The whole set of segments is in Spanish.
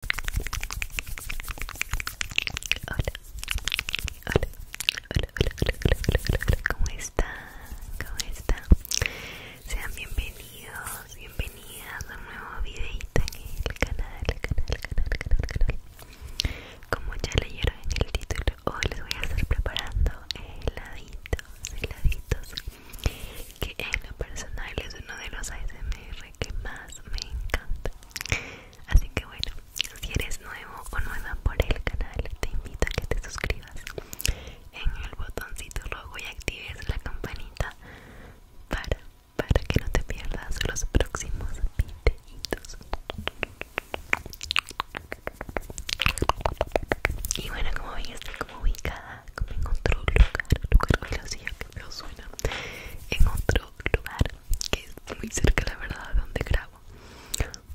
Hola. Hola. Hola, hola, hola, hola, hola, ¿cómo están? ¿Cómo están? Sean bienvenidos, bienvenidas a un nuevo videito en el canal, canal, canal, canal, canal. Como ya leyeron en el título, hoy les voy a estar preparando heladitos, heladitos, que en lo personal es uno de los ASMR que más me encanta así que bueno si eres nuevo o nueva por el canal te invito a que te suscribas en el botoncito rojo y actives la campanita para para que no te pierdas los próximos videitos y bueno como veis estoy como ubicada como en otro lugar lugar suena en otro lugar que es muy cerca la verdad donde grabo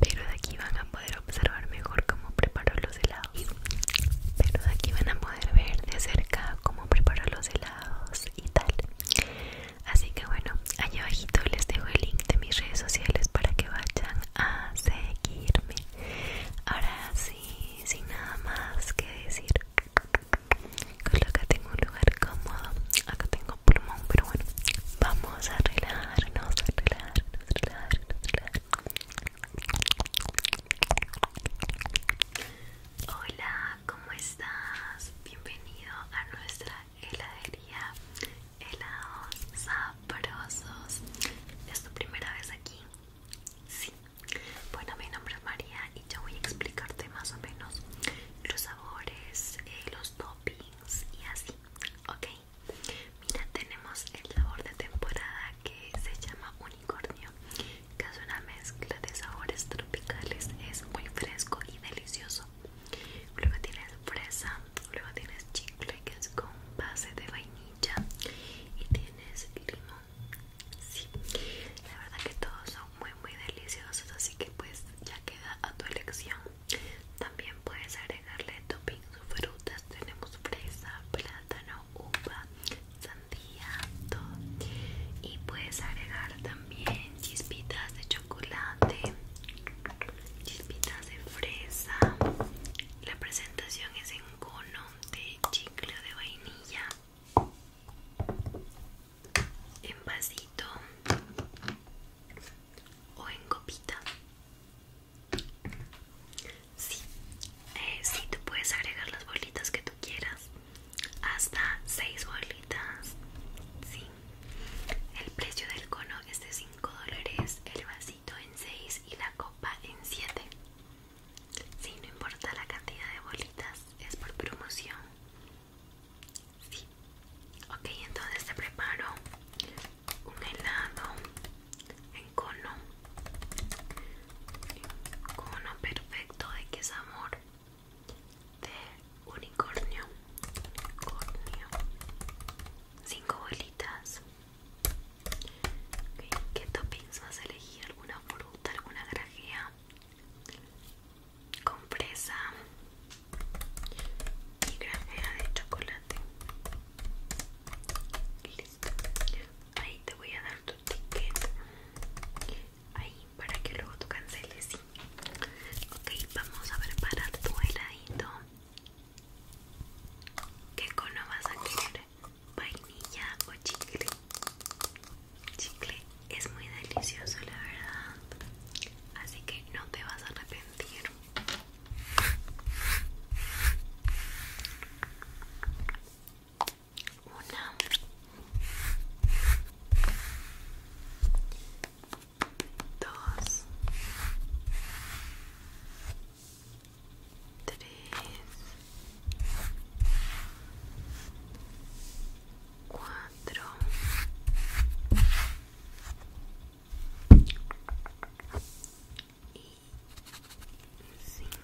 pero de aquí van a poder observar mejor cómo preparo los helados pero de aquí van a poder ver de cerca cómo preparo los helados y tal así que bueno allá abajito les dejo el link de mis redes sociales para que vayan a seguirme ahora sí sin nada más que decir que tengo un lugar cómodo. Acá tengo pulmón, pero bueno. Vamos a relajarnos, a arreglar, relajarnos, relajarnos. Hola, ¿cómo estás? Bienvenido a nuestra heladería Helados Sabrosos. ¿Es tu primera vez aquí? Sí, bueno, mi nombre es María y yo voy a explicarte más o menos los sabores, eh, los toppings y así, ¿ok? Mira, tenemos el sabor de temporada que se llama unicornio, que es una mezcla de sabores tropicales, es muy fresco y delicioso. Luego tienes fresa, luego tienes chicle que es con base de vainilla y tienes limón Sí, la verdad que todos son muy muy deliciosos, así que pues ya queda a tu elección. También puedes agregarle o frutas, tenemos fresa, plátano, uva, sandía, todo. Y puedes agregar también chispitas de chocolate, chispitas de fresa. La presentación es en cono de chicle de vainilla en vasito o en copita. Sí, eh, sí, tú puedes agregar las bolitas que tú quieras, hasta 6 bolitas. Sí, el precio del cono es de 5 dólares, el vasito en 6 y la copa en 7. Sí, no importa la cantidad de bolitas, es por promoción. Sí. Ok, entonces te preparo un helado en cono. cono perfecto de que sabor? de unicornio. Unicornio. Cinco bolitas. Ok, ¿Qué toppings vas a elegir? ¿Alguna fruta? ¿Alguna grajea? compresa y granjera de chocolate listo ahí te voy a dar tu ticket ahí para que luego tú canceles ok vamos a preparar tu heladito ¿Qué cono vas a querer? ¿Vainilla o chicle? chicle es muy delicioso la verdad así que no te vas a arrepentir una dos tres cuatro y cinco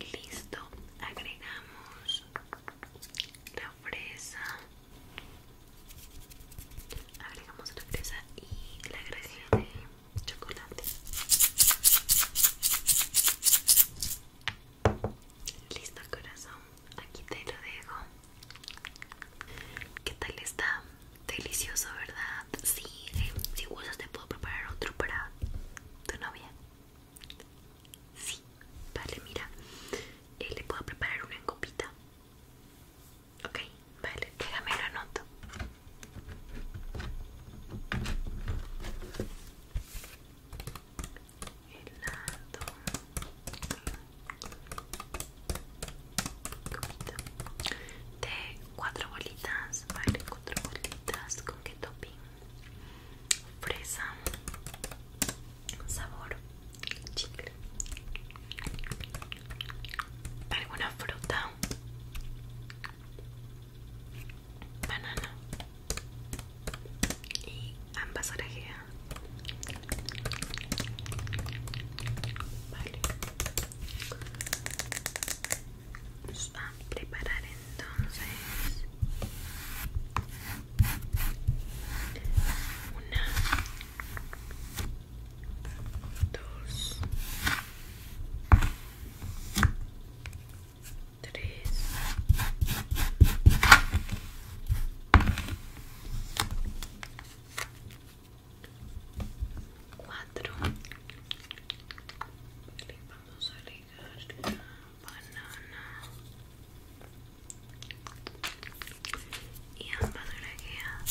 listo agregamos la fresa agregamos la fresa y la gracia de chocolate listo corazón aquí te lo dejo ¿Qué tal está? Delicioso, ¿verdad? Eh, si gustas te puedo preparar otro para tu novia. Sí, vale, mira. Eh, le puedo preparar una copita. Ok, vale, déjame lo anoto. Helado. Copita. De cuatro bolitas. Vale, cuatro bolitas. ¿Con qué topping? fresa, sabor chicle, alguna fruta, banana y ambas orejeas. Vale. Vamos a preparar entonces una, dos, tres, cuatro. Le vamos a banana y ambas la guía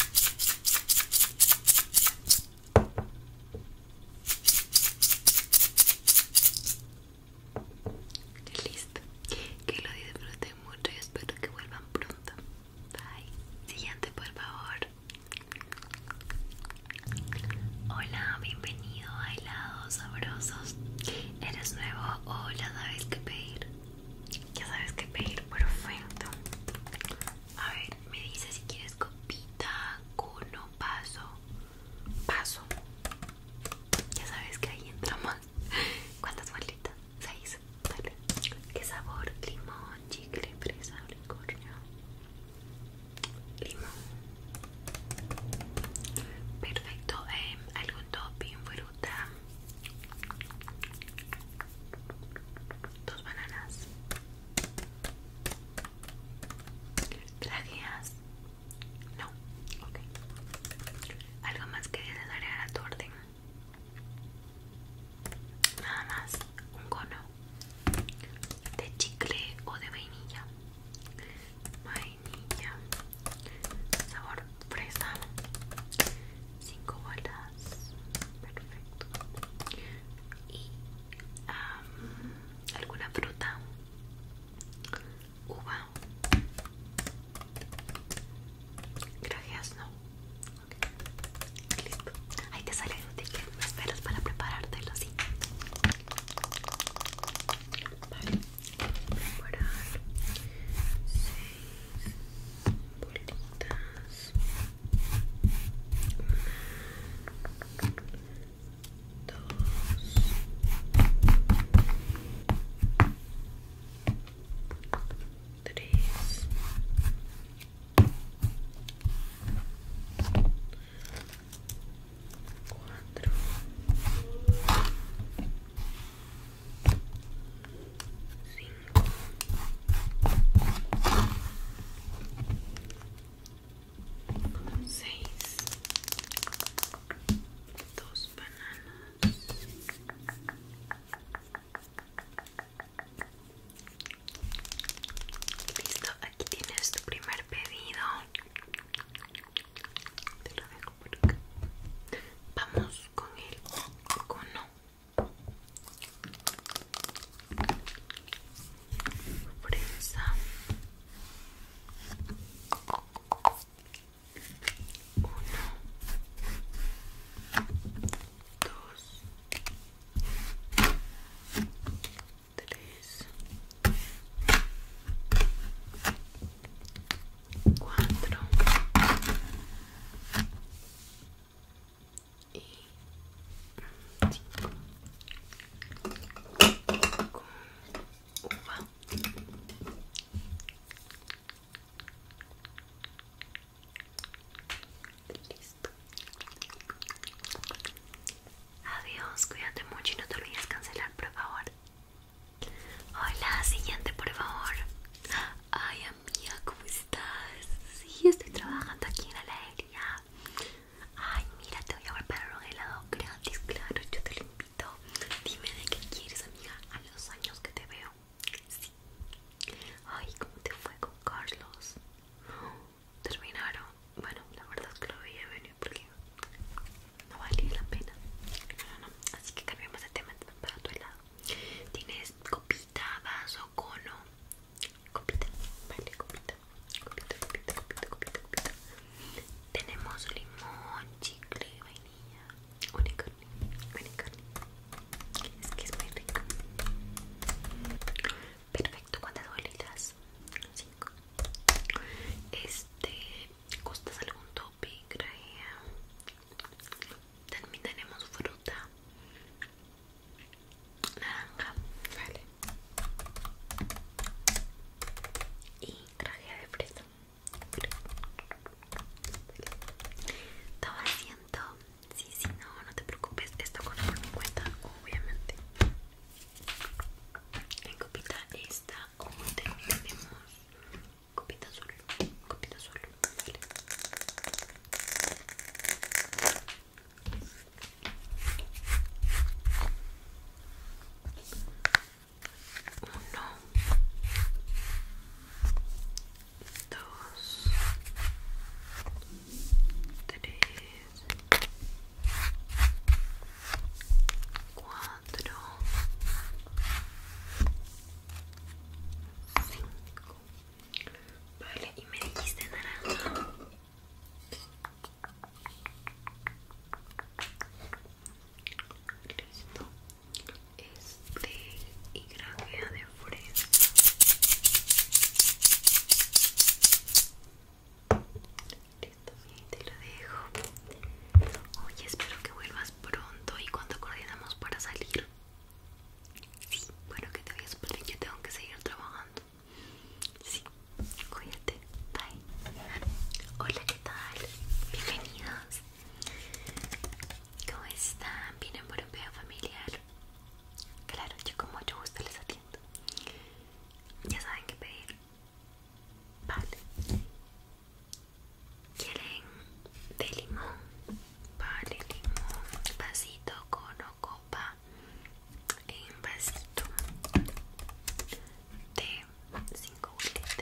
listo que lo disfruten mucho y espero que vuelvan pronto bye siguiente por favor hola bienvenido contenido sabrosos. ¿Eres nuevo o sabes qué pedir? Ya sabes qué pedir, perfecto. A ver, me dice si quieres copita, cono, paso. Paso. Ya sabes que ahí Entramos ¿Cuántas bolitas? Seis. dale ¿Qué sabor? Limón, chicle, fresa, licornio Limón. Perfecto, em, algún topping, fruta, dos bananas, trajeas, no, ok, algo más que deseas agregar a tu orden, nada más, un cono de chicle o de vainilla niña sabor fresa, 5 bolas, perfecto. Y alguna fruta, uva, grajeas no. Listo. Ahí te sale un ticket. Me esperas para preparártelo, sí preparar seis dos tres cuatro cinco seis dos bananas listo aquí tienes tu primer pedido te lo dejo por acá. Vamos con el cono. Fresa. Uno, dos, tres, cuatro y cinco con listo adiós cuídate mucho y no te olvides cancelar por favor Hola, siguiente, por favor. Ay, amiga, ¿cómo estás? Sí, estoy trabajando aquí en la heladería. Ay, mira, te voy a preparar un helado gratis, claro, yo te lo invito. Dime de qué quieres, amiga, a los años que te veo. Sí. Ay, ¿cómo te fue con Carlos? Terminaron. Bueno, la verdad es que lo veía venir porque no vale la pena. Así que cambiamos de tema para tu helado. Tienes copita, vaso, cono. Copita, vale, copita. Copita, copita, copita, copita, copita. Tenemos limón, chicle, vainilla, unicorn unicorn Es que es muy rico. Perfecto, ¿cuántas bolitas? Cinco. Este costas algún topping? También tenemos fruta naranja, vale. Y traje de fresa. Estaba haciendo, sí, sí, no, no te preocupes. Esto con por cuenta, obviamente en copita esta o tenemos copita solo copita solo uno dos tres cuatro, cinco. Vale, y me dijiste naranja. Listo. Este y grajea de fresa. Listo, te lo dejo. Oye, espero que vuelvas pronto y cuando coordinamos para salir. Sí, bueno, que te a porque yo tengo que seguir trabajando. Sí, cuídate. Bye. Hola, ¿qué tal? Bienvenidos. ¿Cómo están? ¿Vienen por un video familiar? Claro, yo como mucho gusto les atiendo. Ya saben qué pedir. Vale. ¿Quieren de limón? Vale, limón. Vasito con o copa. En vasito. De 5 bolitas.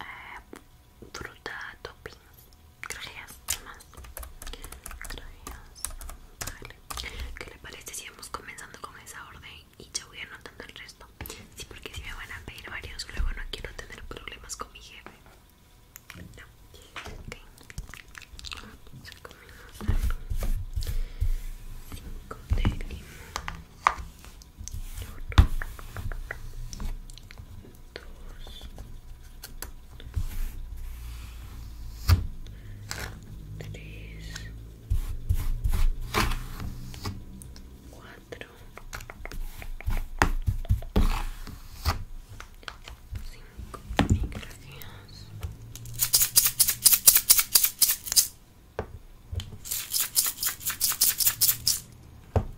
Eh, fruta topping. nada más. Grajeas. Vale. ¿Qué le parece si vamos comenzando con esa orden? y ya voy anotando el resto. Sí, porque si me van a pedir varios, luego no quiero tener problemas con mi jefe. No. Cinco de limón. Uno. Dos. Tres. 4 5 gracias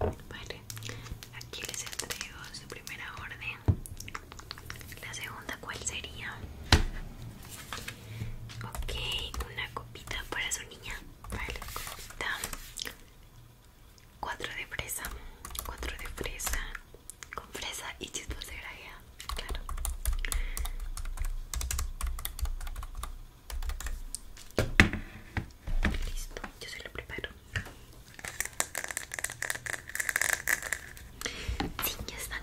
Vale. Aquí les entrego su primera orden. La segunda ¿cuál sería? Ok, una copita para su niña. Vale, copita. Cuatro de fresa. Cuatro de fresa. Con fresa y chispas de gravedad. Claro. Listo, yo se lo preparo. Sí, ya están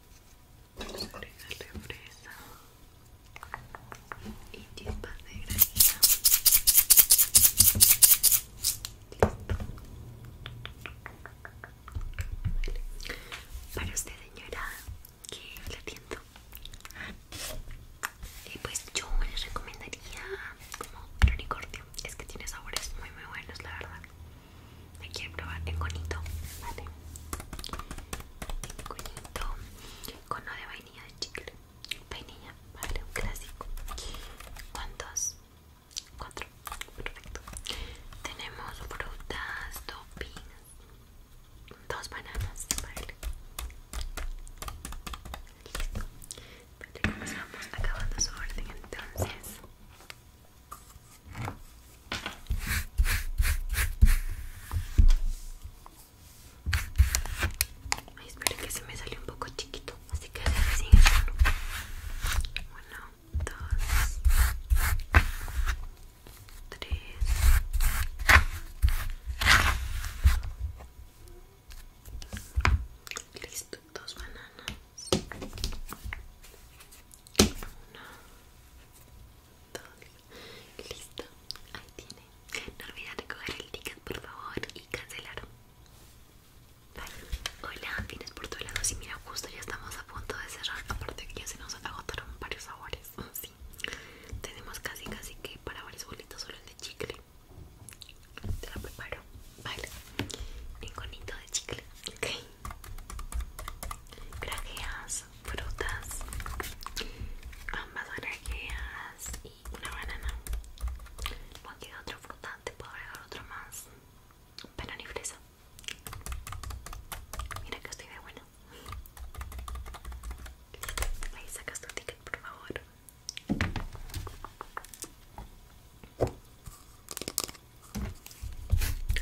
de fresa y chispas de granita. Vale. Para usted, señora, que la atiendo. Y pues yo les recomendaría como el unicornio. Es que tiene sabores muy, muy buenos, la verdad. Me quiero probar? En conito, ¿vale? En conito, cono de vainilla de chicle. Vainilla, ¿vale? Un clásico. ¿Cuántos? Cuatro. Perfecto. Tenemos frutas, topping. dos bananas, ¿vale? Listo. Vale, comenzamos acabando su orden entonces. Ay, espero que se me salió un poco chiquito, así que agarre sin Uno, dos, tres. Listo, dos bananas. Una, todo listo ahí tiene no olvides recoger el ticket por favor y cancelar hola tienes por tu lado? y mira justo ya estamos a punto de cerrar aparte que ya se nos agotaron varios sabores sí tenemos casi casi que para varios bolitos solo el de chicle te lo preparo vale ningunito de chicle ok grajeas frutas ambas grajeas y una banana Cualquier otro otra fruta te puedo agregar otro más pero ni fresa mira que estoy de bueno ahí sacas tu ticket por favor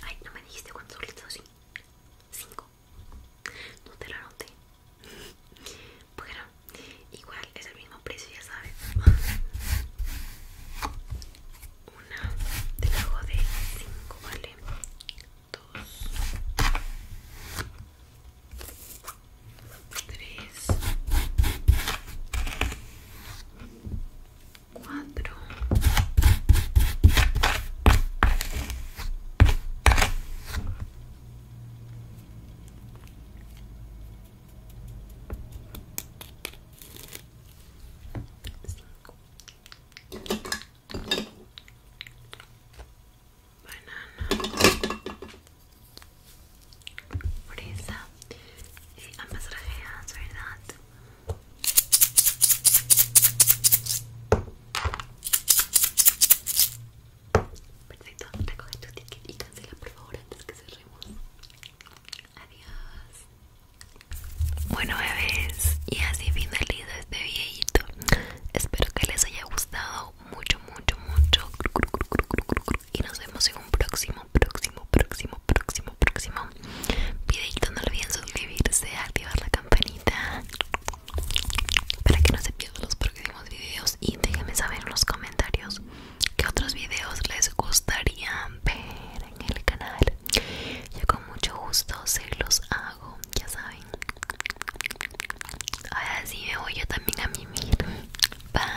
Ay, no me dijiste cuánto litros, así 5 no te lo anoté bueno igual es el mismo precio ya sabes 1. te hago de 5 vale 2 3 cuatro banana y ambas verdad Perfecto, recoge tu ticket y cancela por favor antes que cerremos. Adiós. Bueno bebés, y así finaliza este viejito Espero que les haya gustado mucho, mucho, mucho. Y nos vemos en un próximo, próximo, próximo, próximo, próximo y no olviden suscribirse activar la campanita para que no se pierdan los próximos videos y déjenme saber en los comentarios qué otros videos les gustaría ver en el canal yo con mucho gusto se los hago ya saben ahora sí me voy yo también a mimir bye